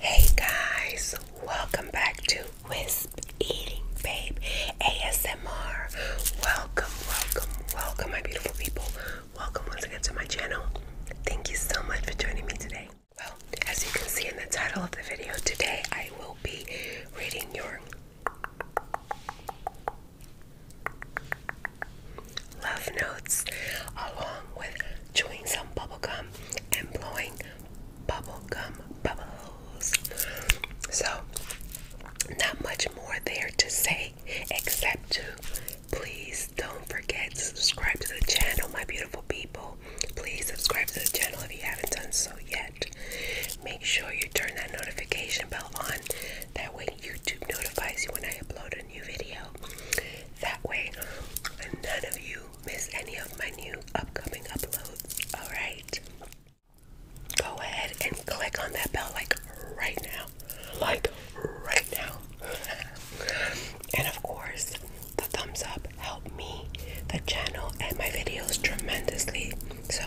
Hey guys, welcome back to Wisp Eating Babe ASMR. Welcome, welcome, welcome, my beautiful people. Welcome once again to my channel. Thank you so much for joining me today. Well, as you can see in the title of the video, today I will be reading your love notes along with chewing some bubble gum and blowing bubble gum bubbles. So, not much more there to say except to please don't forget to subscribe to the channel, my beautiful people. Please subscribe to the channel if you haven't done so yet. Make sure you turn that notification bell on. That way, YouTube notifies you when I upload a new video. That way, none of you miss any of my new upcoming uploads. Alright? Go ahead and click on that bell like right now. Like right now. and of course, the thumbs up help me, the channel, and my videos tremendously. So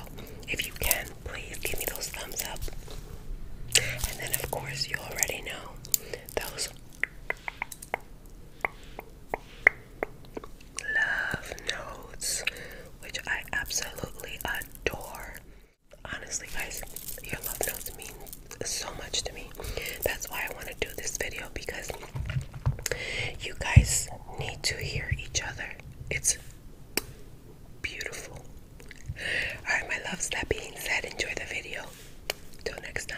if you can, please give me those thumbs up. And then, of course, you already know those Love Notes, which I absolutely adore. Honestly, guys, your love notes mean so much to me. That's why I want to do this video because you guys need to hear each other. It's beautiful. Alright, my loves, that being said, enjoy the video. Till next time.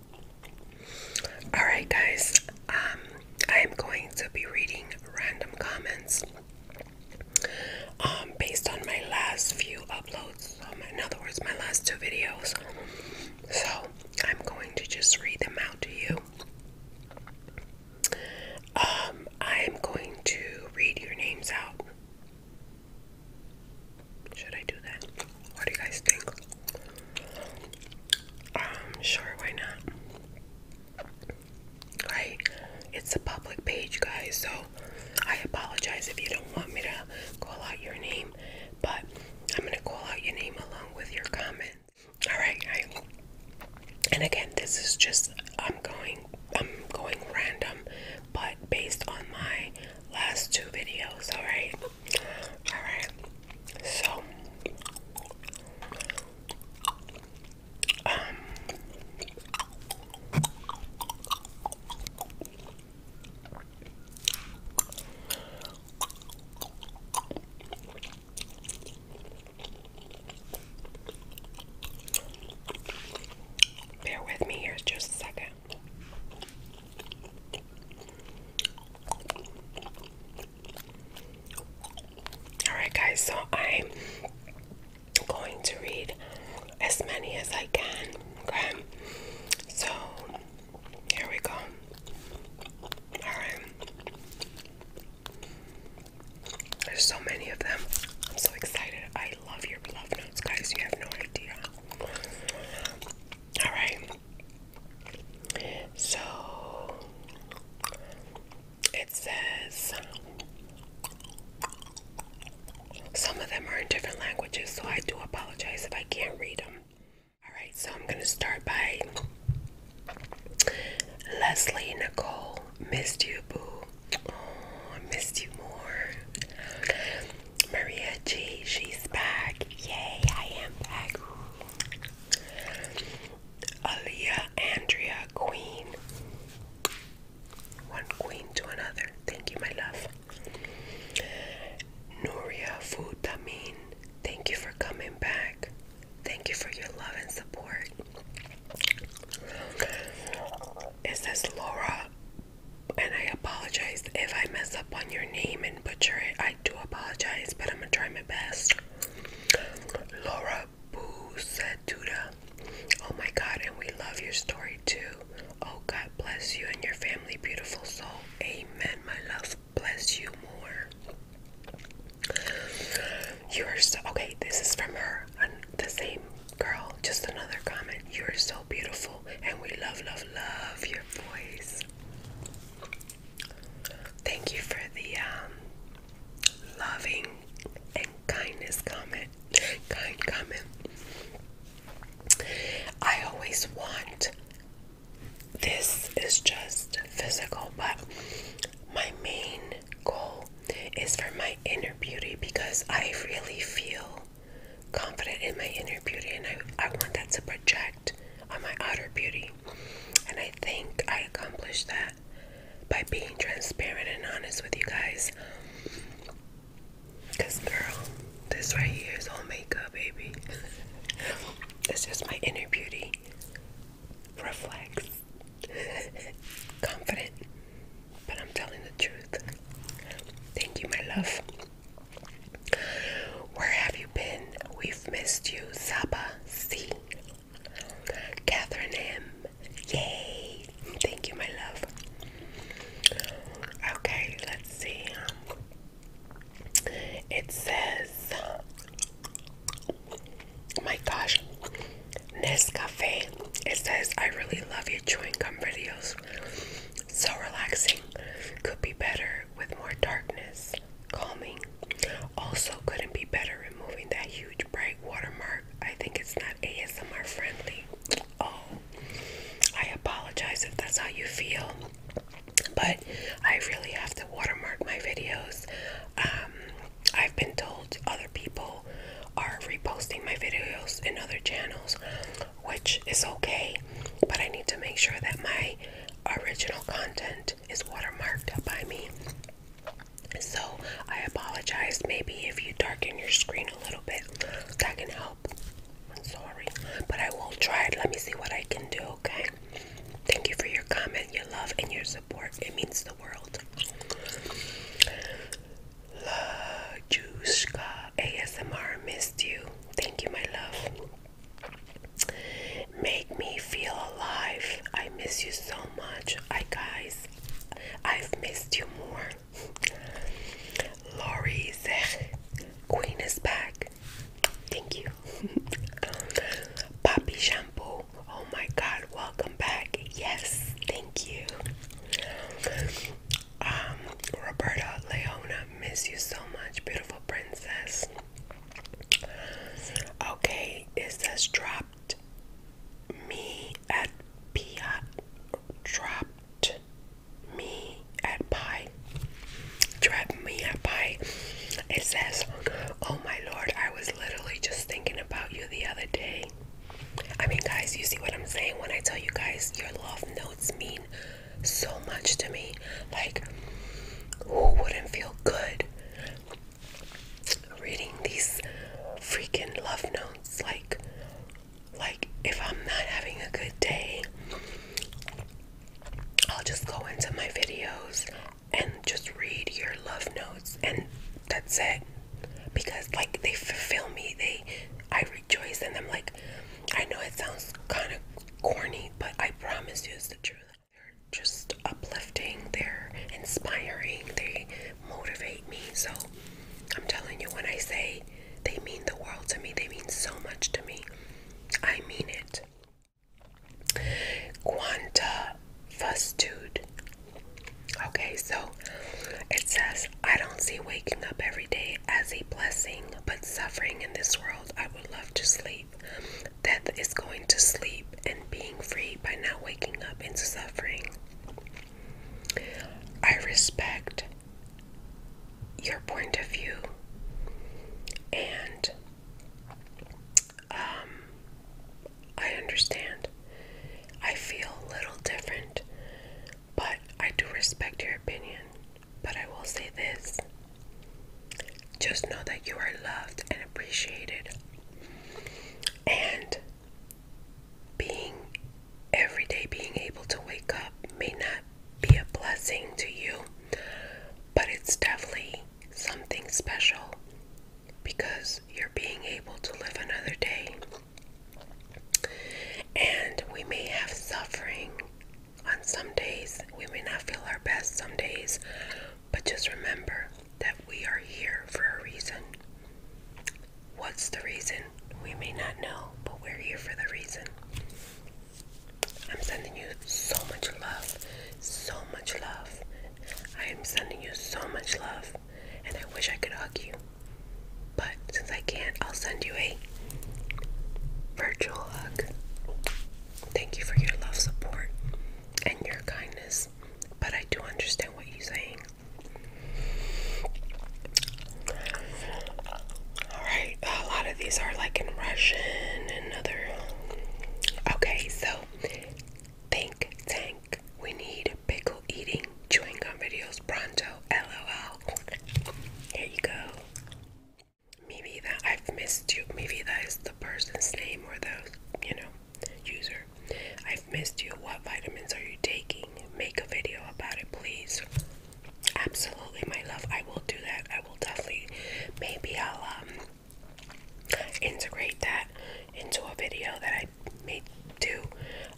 Alright, guys, um, I am going to be reading random comments um, based on my last few uploads, um, in other words, my last two videos. So, I'm going to just read them out to you. I am going to read your names out. Should I do that? What do you guys think? Um, sure, why not? Right? It's a public page, guys, so I apologize if you don't want me to call out your name, but I'm gonna call out your name along with your comment. Alright, and again this is just I'm going I'm going random but based on my last two videos, alright? Alright. So, um, bear with me here just a second. Alright, guys, so I'm going to read as many as I can. Okay, so here we go. Alright, there's so many of them. I'm so excited. I love your love notes, guys. You have no idea. Alright, so it says some of them are in different languages, so I do apologize if I can't read them. Alright, so I'm going to start by Leslie Nicole. Missed you, boo. missed you more. Maria G, she's back. Yay, I am back. Aaliyah Andrea Queen. One queen to another. Thank you, my love. Nuria Futamin. Thank you for coming back. Thank you for your love and support. It says Laura, and I apologize if I mess up on your name and butcher it. I do apologize, but I'm gonna try my best. Laura Boo said, Duda, oh my God, and we love your story too. Oh God, bless you and your family, beautiful soul. Amen, my love. Bless you more. You are so okay. This is from her, the same girl. Just another comment. You are so beautiful, and we love, love, love your voice. Thank you for the um, loving and kindness comment. Kind comment. I always want this is just physical, but my main goal is for my inner beauty because I really feel confident in my inner beauty and I, I want that to project on my outer beauty. And I think I accomplished that by being transparent and honest with you guys. Because, girl, this right here is all makeup, baby. it's just my inner beauty. Reflects Confident. But I'm telling the truth. Thank you, my love. Where have you been? We've missed you. Saba C. Catherine M. Yay! Thank you, my love. Okay, let's see. It says, my gosh, Nescafe. It says, I really love your chewing gum videos. So relaxing. Could be better with more darkness calming. Also, couldn't be better removing that huge bright watermark. I think it's not ASMR friendly. Oh, I apologize if that's how you feel, but I really have to watermark my videos. Um, I've been told other people are reposting my videos in other channels, which is okay, but I need to make sure that my original content is watermarked by me. So I apologize. Maybe if you darken your screen a little bit, that can help. I'm sorry, but I will try it. Let me see what I can do, okay? Thank you for your comment, your love, and your support. It means the world. La Jushka ASMR missed you. Thank you, my love. Make me feel alive. I miss you so much. I guys, I've missed you more. Lori Zeg, Queen is back. Thank you. Poppy Shampoo, oh my god, welcome back. Yes, thank you. Um, Roberta Leona, miss you so much, beautiful princess. Okay, it says dropped me at Pia. Dropped me at pie. Dropped me at pie. It says, Oh my lord, I was literally just thinking about you the other day. I mean, guys, you see what I'm saying when I tell you guys your love notes mean so much to me. Like, who wouldn't feel good reading these freaking love notes? Like, like if I'm not having a good day, I'll just go into my videos and just read your love notes, and that's it. Because like they fulfill me, they I rejoice in them. Like, I know it sounds kind of corny, but I promise you it's the truth. They're just uplifting, they're inspiring, they motivate me. So I'm telling you, when I say they mean the world to me, they mean so much to me. I mean it. Quanta fastude. Okay, so it says, I don't see waking up every day as a blessing, but suffering in this world, I would love to sleep. Death is going to sleep and being free by not waking up into suffering. I respect your point of view and um, I understand. I feel a little different, but I do respect your opinion. But I will say this just know that you are loved and appreciated. And being every day being able to wake up may not be a blessing to you, but it's definitely something special because you're being able to live another day. And we may have suffering on some days, we may not feel our best some days, but just remember that we are here for a reason. What's the reason? We may not know, but we're here for the reason. I'm sending you so much love, so much love. I am sending you so much love, and I wish I could hug you. But since I can't, I'll send you a virtual hug. Thank you for your love, support, and your kindness. But I do understand what you're saying. Alright, a lot of these are like in Russian and other. Okay, so think tank. We need pickle eating chewing gum videos pronto. LOL. Here you go. Maybe that I've missed you. Maybe that is the person's name or the, you know, user. I've missed you. What vitamins are you taking? Make a video about it, please. Absolutely, my love. I will do that. I will definitely. Maybe I'll um integrate that into a video that I may do.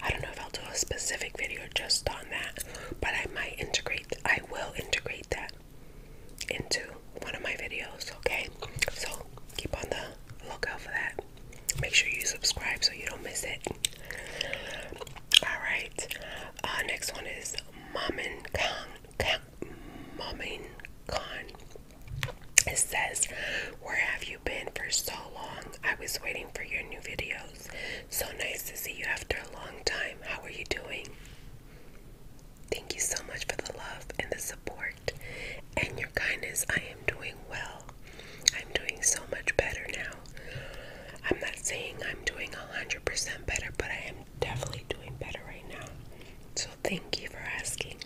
I don't know if I'll do a specific video just on that, but I might integrate. I will integrate that into one of my videos, okay? So keep on the lookout for that. Make sure you subscribe so you don't miss it. Alright, uh, next one is Mamin Khan. Mamin Khan. It says, Where have you been for so long? I was waiting for your new videos. So nice to see you after a long time. How are you doing? Thank you so much for the love and the support and your kindness. I am doing well. I'm doing so much better now. I'm not saying I'm doing 100% better, but I am definitely doing better right now. So thank you for asking.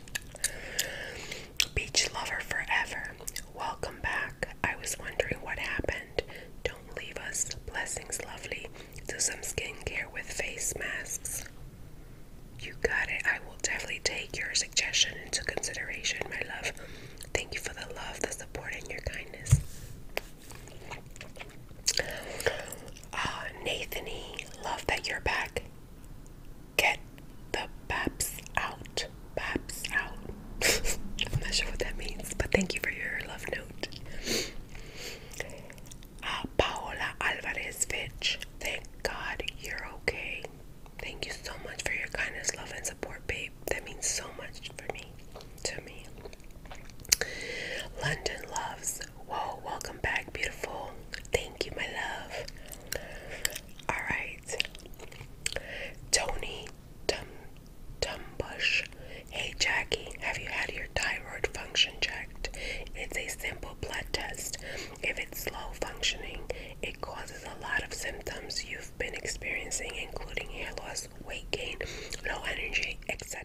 Beach lover forever. Welcome back. I was wondering what happened. Don't leave us. Blessings, lovely. Do some skincare with face masks. You got it. I will definitely take your suggestion into consideration, my love. Thank you for the love, the support, and your kindness. Ah, uh, Nathanie, love that you're back. Get the paps out. Paps out. I'm not sure what that means, but thank you for your love note uh, Paola Alvarez Fitch. Thank God you're okay. Thank you so much for your kindness, love, and support, babe. That means so much for me, to me. London loves. Whoa, welcome back, beautiful. Thank you, my love. All right. Tony Tum Bush. Hey, Jackie, have you had your thyroid function checked. It's a simple blood test. If it's low functioning, it causes a lot of symptoms you've been experiencing, including hair loss, weight gain, low energy, etc.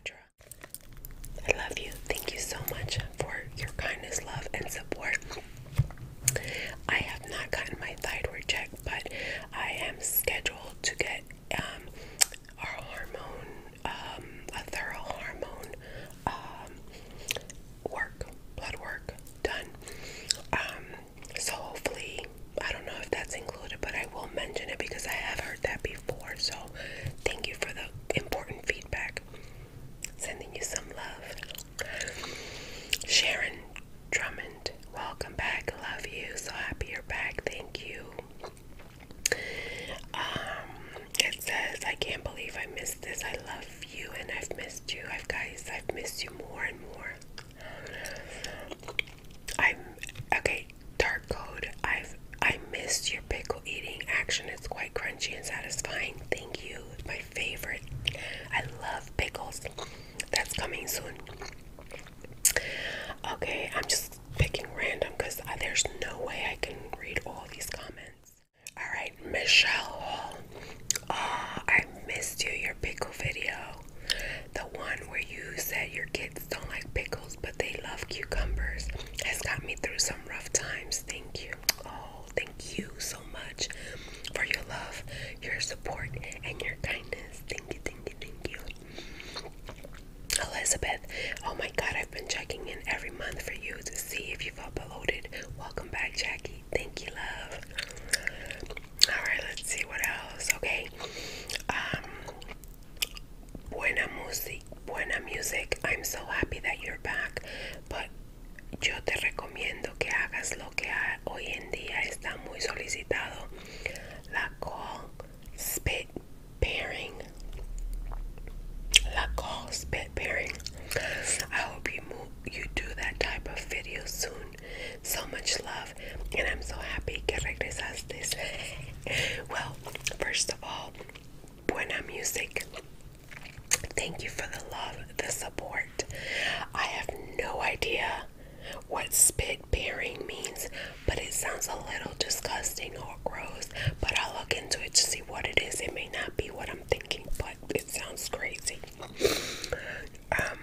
I love you. Thank you so much for your kindness, love, and support. I have not gotten my thyroid checked, but I am scheduled to get um, our hormone um, a thorough hormone um, work, blood work done. Um, so hopefully, I don't know if that's included, but I will mention it because I have heard that before. So thank you for the important feedback. Sending you some love. Sharon Drummond, welcome back. Love you. So happy you're back. Thank you it says, I can't believe I missed this. I love you and I've missed you. I've guys, I've missed you more and more. I'm okay, dark code. I've I missed your pickle eating action. It's quite crunchy and satisfying. Thank you. my favorite. I love pickles. That's coming soon. Okay, I'm just picking random because uh, there's no way I can read all these comments. All right, Michelle Oh, I missed you, your pickle video. The one where you said your kids don't like pickles, but they love cucumbers. Has got me through some rough times. Thank you. Oh, thank you so much for your love, your support, and your kindness. Thank you, thank you, thank you. Elizabeth, oh my god, I've been checking in every month for you to see if you've uploaded. Welcome back, Jackie. Thank you, love. Alright, let's see what else. Okay. Um, buena music buena music. I'm so happy that you're back. But yo te recomiendo que hagas lo que hoy en día está muy solicitado. La call spit pairing. La call spit pet pairing. I hope you move, you do that type of video soon. So much love, and I'm so happy que this. well, first of all, buena music. Thank you for the love, the support. I have no idea what spit pairing means, but it sounds a little disgusting or gross. But I'll look into it to see what it is. It may not be what I'm thinking, but it sounds crazy. Um,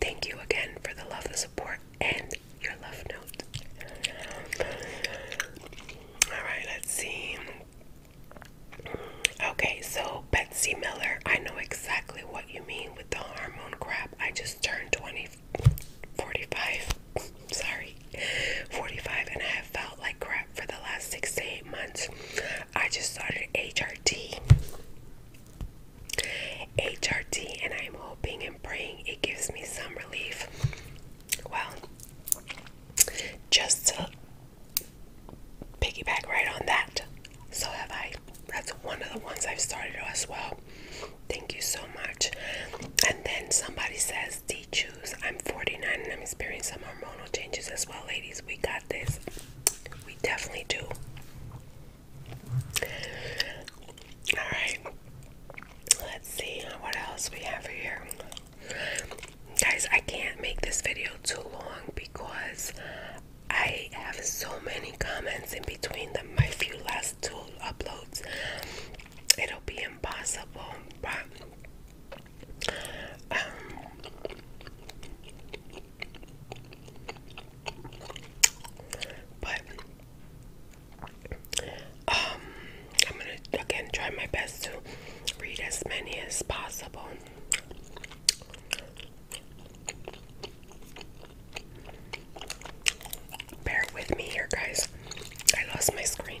thank you again for the love and support and your love note. Alright, let's see. Okay, so Betsy Miller, I know exactly what you mean with the hormone crap. I just turned 20, sorry, 45, and I have felt like crap for the last six to eight months. I just started HRT. HRT, and I'm hoping and praying it gives me some relief. Well, just to piggyback right on that, so have I. That's one of the ones I've started as well. Thank you so much. And then somebody says, I'm 49 and I'm experiencing some hormonal changes as well, ladies. We got this. We definitely do. Alright. Let's see what else we have here. Guys, I can't make this video too long because I have so many comments in between my few last two uploads. It'll be impossible, but um, I'm gonna again try my best to read as many as possible. Bear with me here, guys. I lost my screen.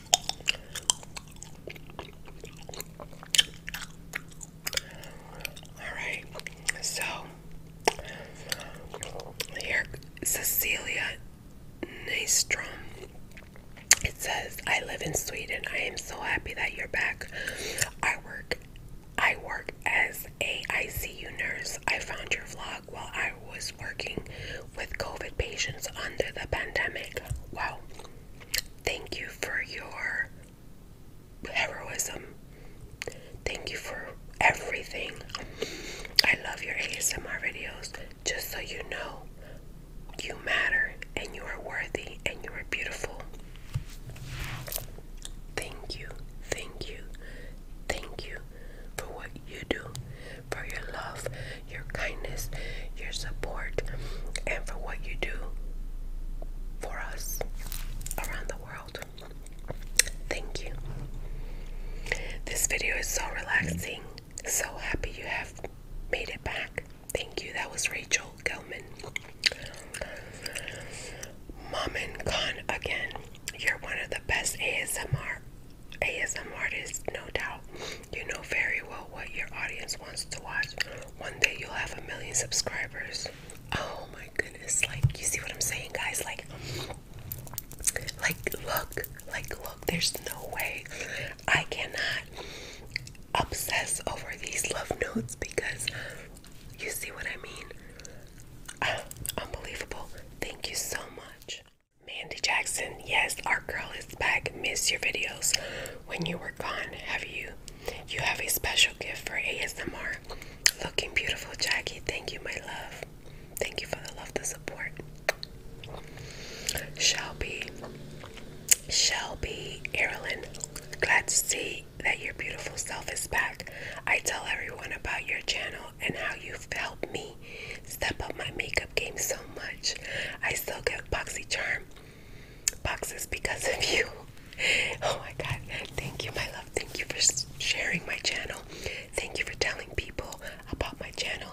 Alright, so here, Cecilia Nystrom. It says, I live in Sweden. I am so happy that you're back. I work I work as a ICU nurse. I found your vlog while I was working with COVID patients under the pandemic. Wow. Thank you for your heroism. Thank you for everything. I love your ASMR videos. Just so you know, you matter and you are worthy and you are beautiful. Thank you, thank you, thank you for what you do, for your love, your kindness, your support, and for what you do for us around the world. Thank you. This video is so relaxing. So happy you have made it back. Thank you. That was Rachel Gelman. Mom and Con again. You're one of the best ASMR ASMR artists, no doubt. You know very well what your audience wants to watch. One day you'll have a million subscribers. Oh my goodness. Like, you see what I'm saying, guys? Like, like, look, like, look, there's no way I cannot obsess over these love notes because you see what I mean? Ah, unbelievable. Thank you so much. Mandy Jackson, yes, our girl is back. Miss your videos when you were gone. Have you you have a special gift for ASMR. Looking beautiful, Jackie. Thank you, my love. Thank you for the love, the support. Shelby, Shelby, Erilyn, glad to see that your beautiful self is back. I tell everyone about your channel and how you've helped me step up my makeup game so much. I still get boxy charm boxes because of you. Oh my god. Thank you, my love. Thank you for sharing my channel. Thank you for telling people about my channel.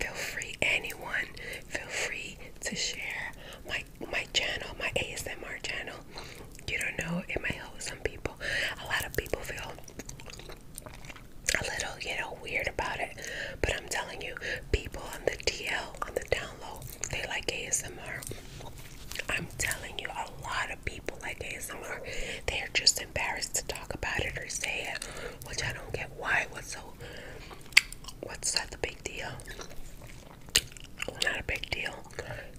Feel free, anyone, feel free to share my my channel, my ASMR channel. You don't know, it might help some people. A lot of people feel a little, you know, weird about it. But I'm telling you, people on the DL, on the down low, they like ASMR. I'm telling you, a lot of people like ASMR. They're just embarrassed to talk about it or say it, which I don't get why. What's so what's that the big deal? Not a big deal.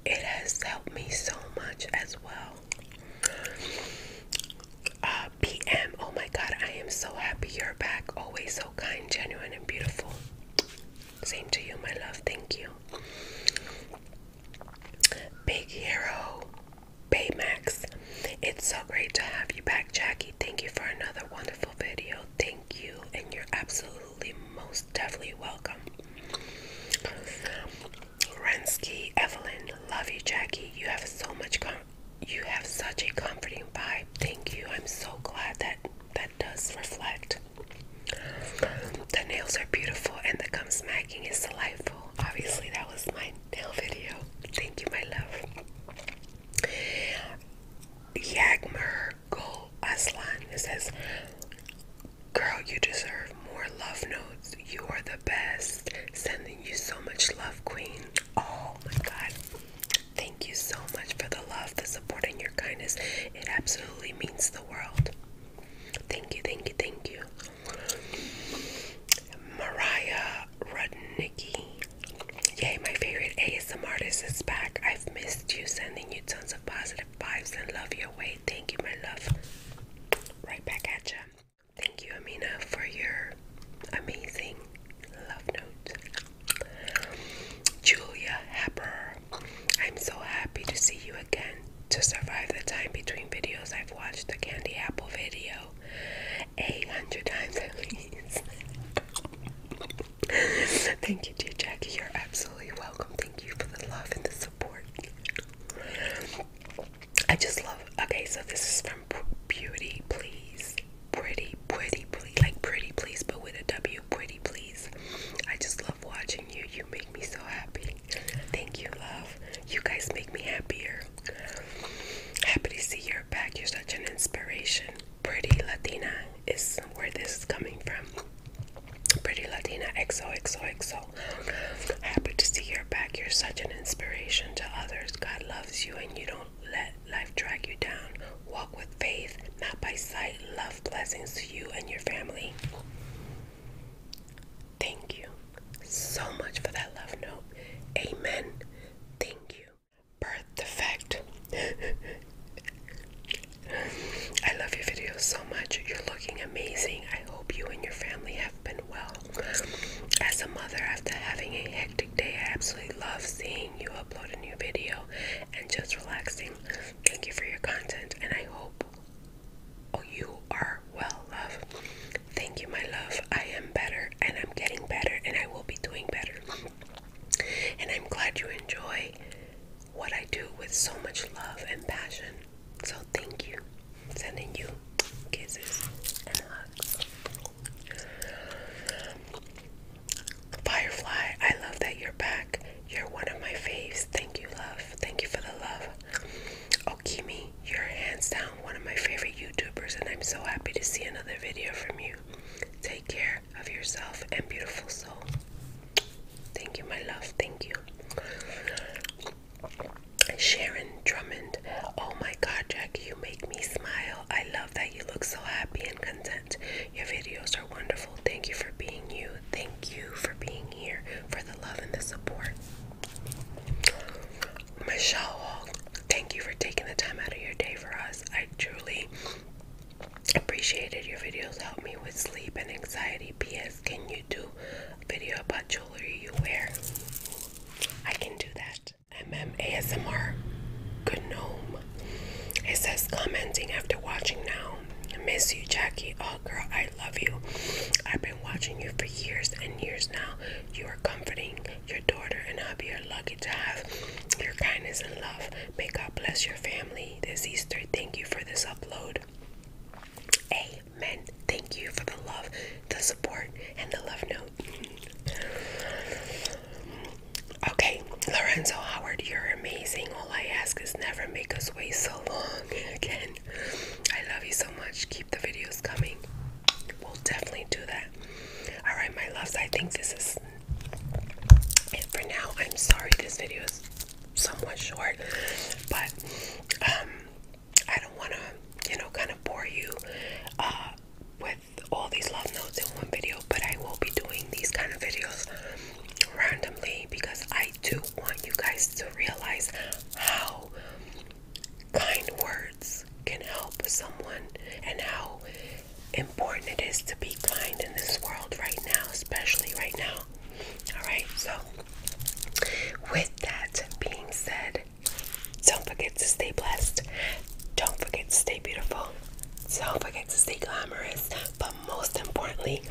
It has helped me so much as well. Uh, PM, oh my god, I am so happy you're back. Always so kind, genuine, and beautiful. Same to you, my love. Thank you. Big Hero Baymax. It's so great to have you back, Jackie. Thank you for another wonderful video. Thank you, and you're absolutely most definitely welcome. Rensky Evelyn, love you, Jackie. You have so much com you have such a comforting vibe thank you. I'm so glad that that does reflect. The nails are beautiful and the gum smacking is delightful. Obviously, that was my nail video. Thank you, my love. Yagmer Go Aslan says, Girl, you deserve more love notes. You are the best. Sending you so much love, Queen. Oh my god. Thank you so much for the love, the support, and your kindness. It absolutely means the world. Thank you, thank you, thank you. Mariah Rudnicki. Yay, my favorite ASMR artist is back. I've missed you, sending you tons of positive vibes and love your way. Thank you, my love. Right back at ya. Thank you, Amina, for your amazing love note. Julia Hepper, I'm so happy to see you again. To survive the time between videos, I've watched the Candy Apple video 800 times at least. Thank you, dear Jackie. You're absolutely welcome. Thank you for the love and the support. I just love. Okay, so this is from Beauty Please pretty, pretty, please, like pretty, please, but with a W, pretty, please. I just love watching you. You make me so happy. Thank you, love. You guys make me happier. Happy to see you're back. You're such an inspiration. Pretty Latina is where this is coming from. Pretty Latina, XOXOXO. Happy to see you're back. You're such an inspiration to others. God loves you, and you don't let Life drag you down. Walk with faith, not by sight. Love blessings to you and your family. Thank you so much for that love note. Amen. Thank you. Birth defect. I love your videos so much. You're looking amazing. I hope you and your family have been well. As a mother, after having a hectic day, I absolutely love seeing you upload a new video and just relaxing. Thank you for your content, and I hope oh, you are well, love. Thank you, my love. I am better, and I'm getting better, and I will be doing better. And I'm glad you enjoy what I do with so much love and passion. So, thank you. Sending you kisses and hugs. Firefly, I love that you're back. You're one of my faves. Thank you, love. Thank you for the love. Okimi, you're hands down one of my favorite YouTubers, and I'm so happy to see another video from you. Take care of yourself and beautiful soul. Thank you, my love. Thank you. Sharon Drummond, oh my god, Jack, you make me smile. I love that you look so happy and content. Your videos are wonderful. Thank you for being you. Thank you for being here, for the love and the support. Michelle Hall, thank you for taking the time out of your day for us. I truly appreciated your videos. Help me with sleep and anxiety. P.S. Can you do a video about jewelry you wear? I can do that. MM ASMR Gnome it says commenting after watching now. Miss you, Jackie. Oh, girl, I love you. I've been watching you for years and years now. You are comforting your daughter, and I'll be lucky to have your kindness and love. May God bless your family this Easter. Thank you for this upload. Amen. Thank you for the love, the support, and the love note. Okay, Lorenzo Howard, you're amazing. All I ask is never make us wait so long again. I love you so much. Keep the videos coming. We'll definitely do that. Alright, my loves, I think this is it for now. I'm sorry this video is somewhat short, but um, I don't want to, you know, kind of bore you uh, with all these love notes in one video, but I will be doing these kind of videos randomly because I do want you guys to realize how kind words can help someone and how important it is to be kind in this world right now, especially right now. Alright, so with that being said, don't forget to stay blessed. Don't forget to stay beautiful. Don't forget to stay glamorous. But um, most importantly,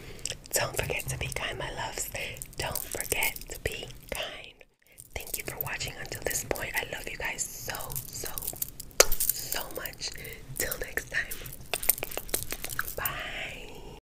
don't forget to be kind, my loves. Don't forget to be kind. Thank you for watching until this point. I love you guys so, so, so much. Till next time. Bye.